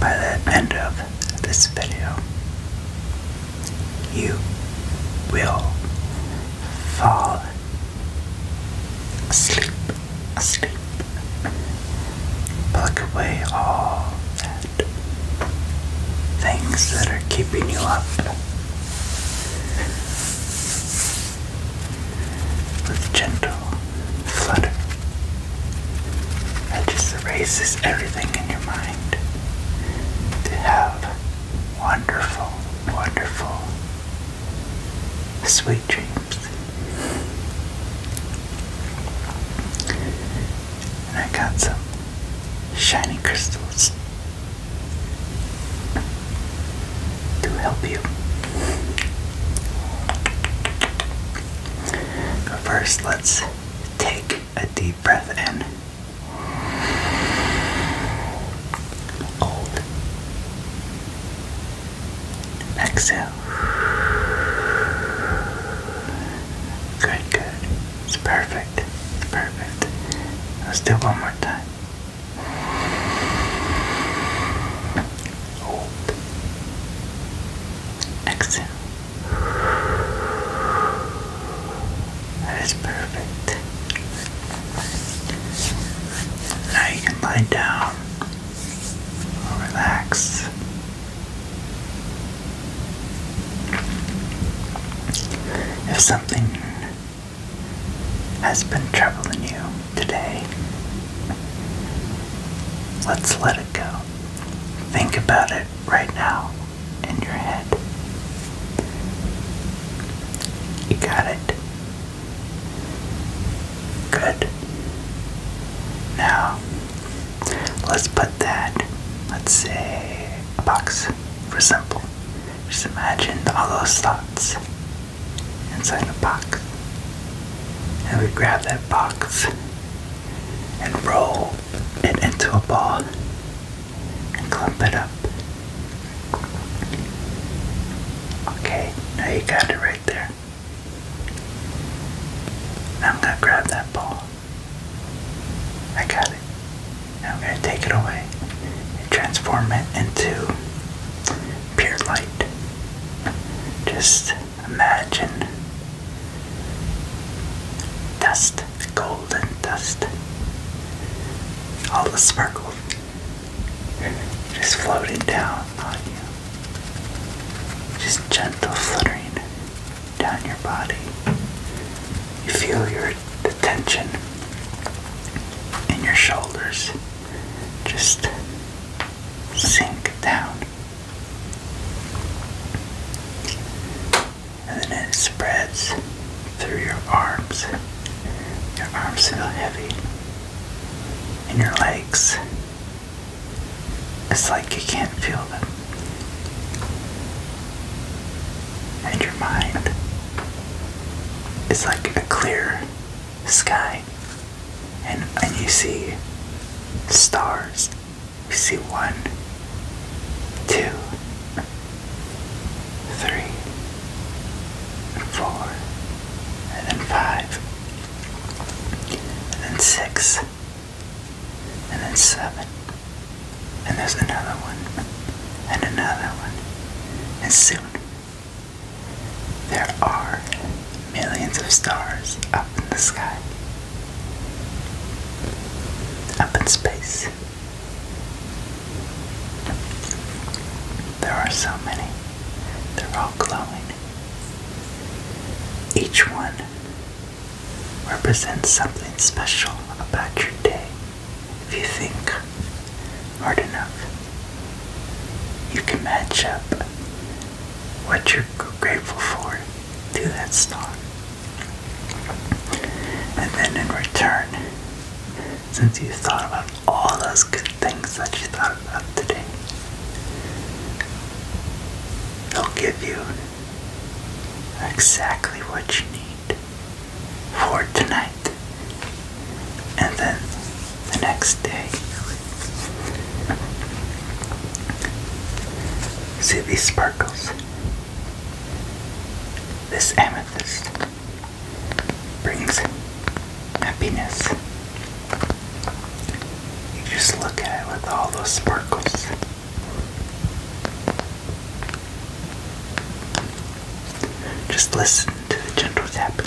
by the end of this video, you will fall asleep, asleep. Pluck away all things that are keeping you up. With gentle flutter that just erases everything in your mind. To have wonderful, wonderful, sweet dreams. And I got some shiny crystals to help you. But first, let's take a deep breath in. Hold. Exhale. Good, good. It's perfect. It's perfect. Let's do one more time. Exhale. That is perfect. Now you can lie down relax. If something has been troubling you today, let's let it go. Think about it right now in your head. You got it. Good. Now, let's put that, let's say, a box for simple. Just imagine all those thoughts inside the box. And we grab that box and roll it into a ball and clump it up. Okay, now you got it right there. Now I'm gonna grab that ball. I got it. Now I'm gonna take it away and transform it into pure light. Just Imagine dust, golden dust, all the sparkle just floating down on you, just gentle fluttering down your body. You feel your the tension in your shoulders just sink down. And then it spreads through your arms. Your arms feel heavy. And your legs. It's like you can't feel them. And your mind. It's like a clear sky and, and you see stars. You see one, two, three, and then five, and then six, and then seven, and there's another one, and another one, and soon there are millions of stars up in the sky, up in space. There are so many, they're all glowing. Each one represents something special about your day if you think hard enough. You can match up what you're grateful for to that star. And then in return, since you thought about all those good things that you thought about today, they'll give you exactly what you need for tonight. And then the next day. See these sparkles. This amethyst brings happiness. You just look at it with all those sparkles. Just listen to the gentle tapping.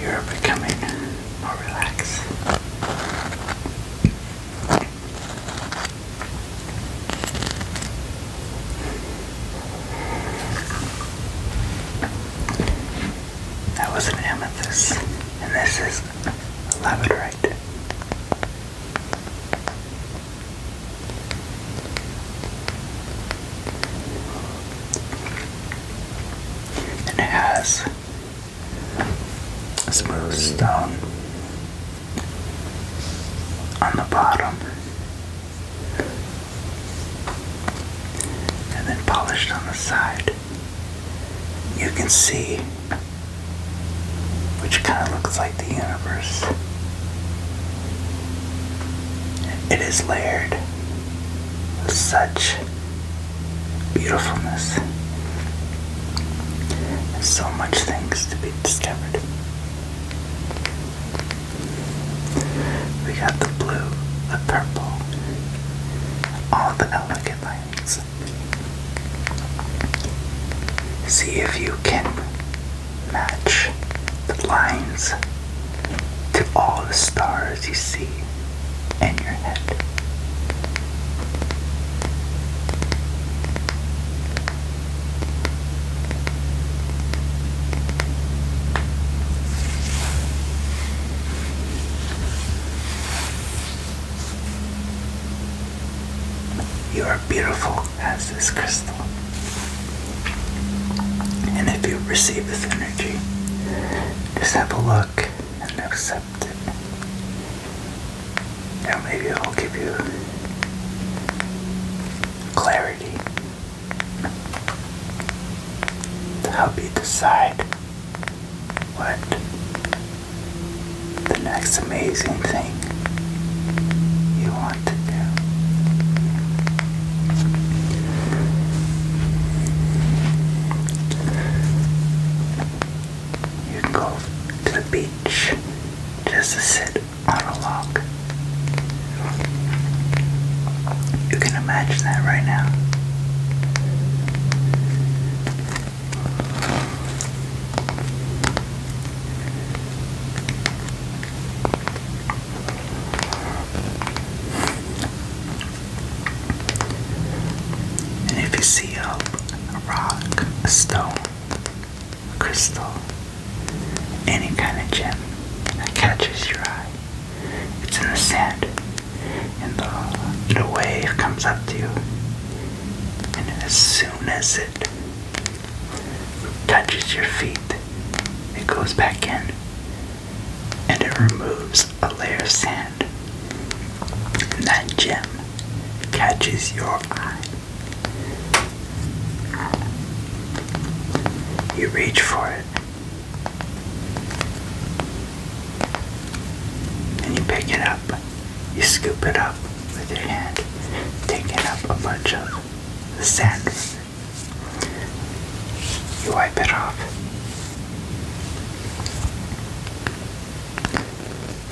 You're becoming more relaxed. That was an amethyst, and this is a labradorite. And it has a smooth stone on the bottom and then polished on the side. You can see, which kind of looks like the universe. It is layered with such beautifulness and so much things to be discovered. We got the blue, the purple, all the elegant lines. See if you can match the lines to all the stars you see in your head. You are beautiful as this crystal. And if you receive this energy, just have a look and accept it. Now, maybe it'll give you clarity to help you decide what the next amazing thing you want to do. You can go to the beach just to sit on a log. You can imagine that right now. And if you see a, rock, a stone, a crystal, any kind of gem that catches your eye, it's in the sand. And the wave comes up to you. And as soon as it touches your feet, it, goes back in and it removes a layer of sand. And that gem catches your eye. You reach for it. And you pick it up. You scoop it up with your hand. take it up a bunch of sand. You wipe it off.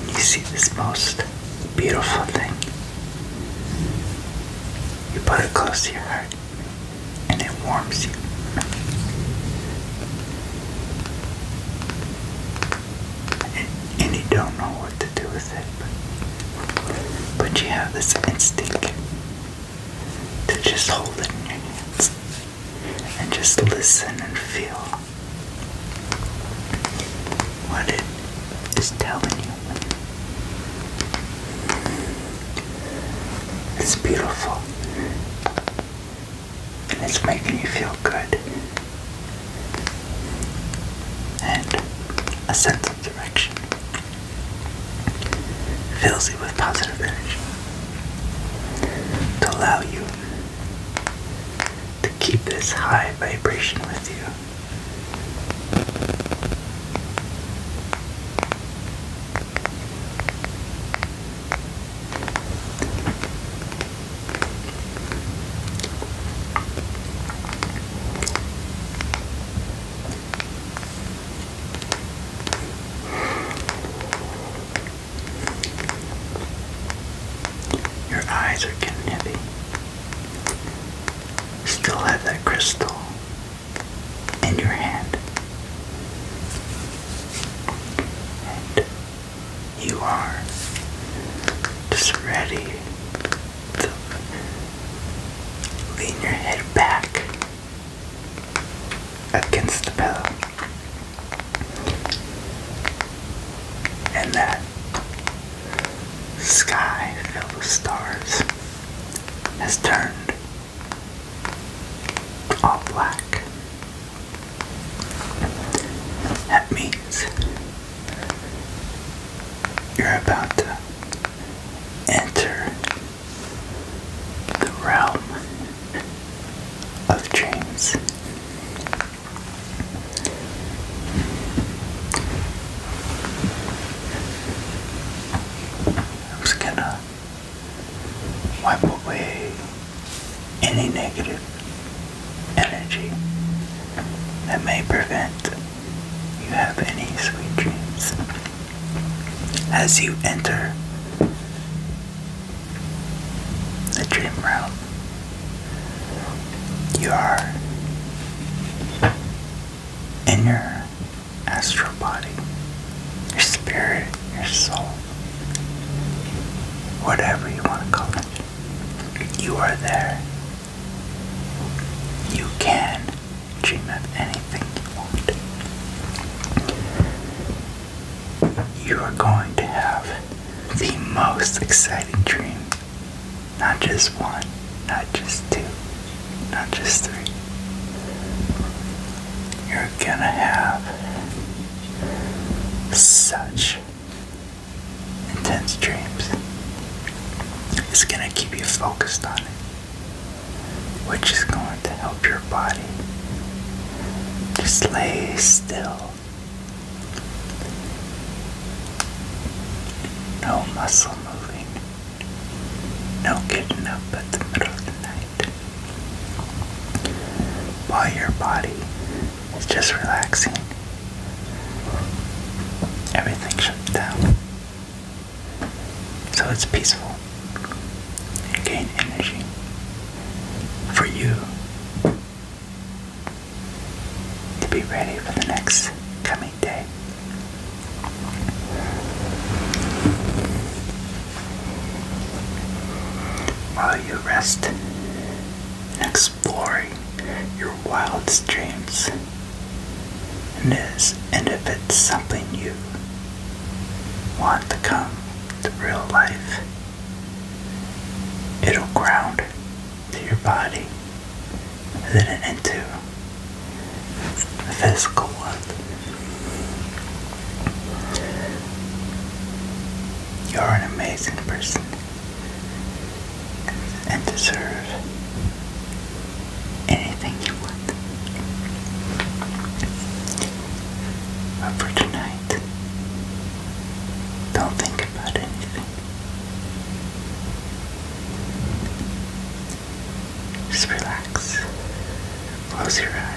And you see this most beautiful thing. You put it close to your heart and it warms you. And, you don't know what to do but you have this instinct to just hold it in your hands and just listen and feel what it is telling you. It's beautiful. And it's making you feel good and a sense of direction. Fills you with positive energy to allow you to keep this high vibration with you. Your eyes are getting heavy. Still have that crystal in your hand. And you are just ready lean your head back against the pillow. And that sky filled with stars has turned all black. That means you're about to enter the realm of dreams. I'm just gonna wipe away any negative energy that may prevent you have any sweet dreams. As you enter the dream realm, you are in your astral body, your spirit, your soul, whatever you want to call it. You are there you can dream of anything you want. You are going to have the most exciting dream. Not just one, not just two, not just three. You're gonna have such intense dreams. It's going to keep you focused on it, which is going to help your body just lay still. No muscle moving, no getting up at the middle of the night. While your body is just relaxing everything shuts down. So it's peaceful. gain energy for you to be ready for the next coming day. While you rest and your wildest dreams. And, if it's something you want to come to real life, it'll ground to your body, and then into the physical world. You're an amazing person and deserve anything you want. But for tonight, don't think about anything. Just relax. Close your eyes.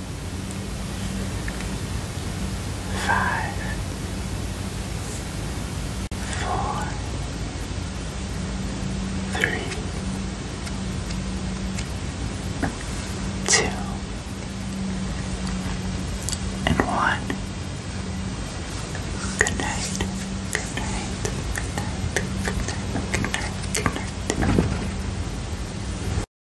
five, four, three, two, and one. Good night. Good night. Good night. Good night. Good night. Good night.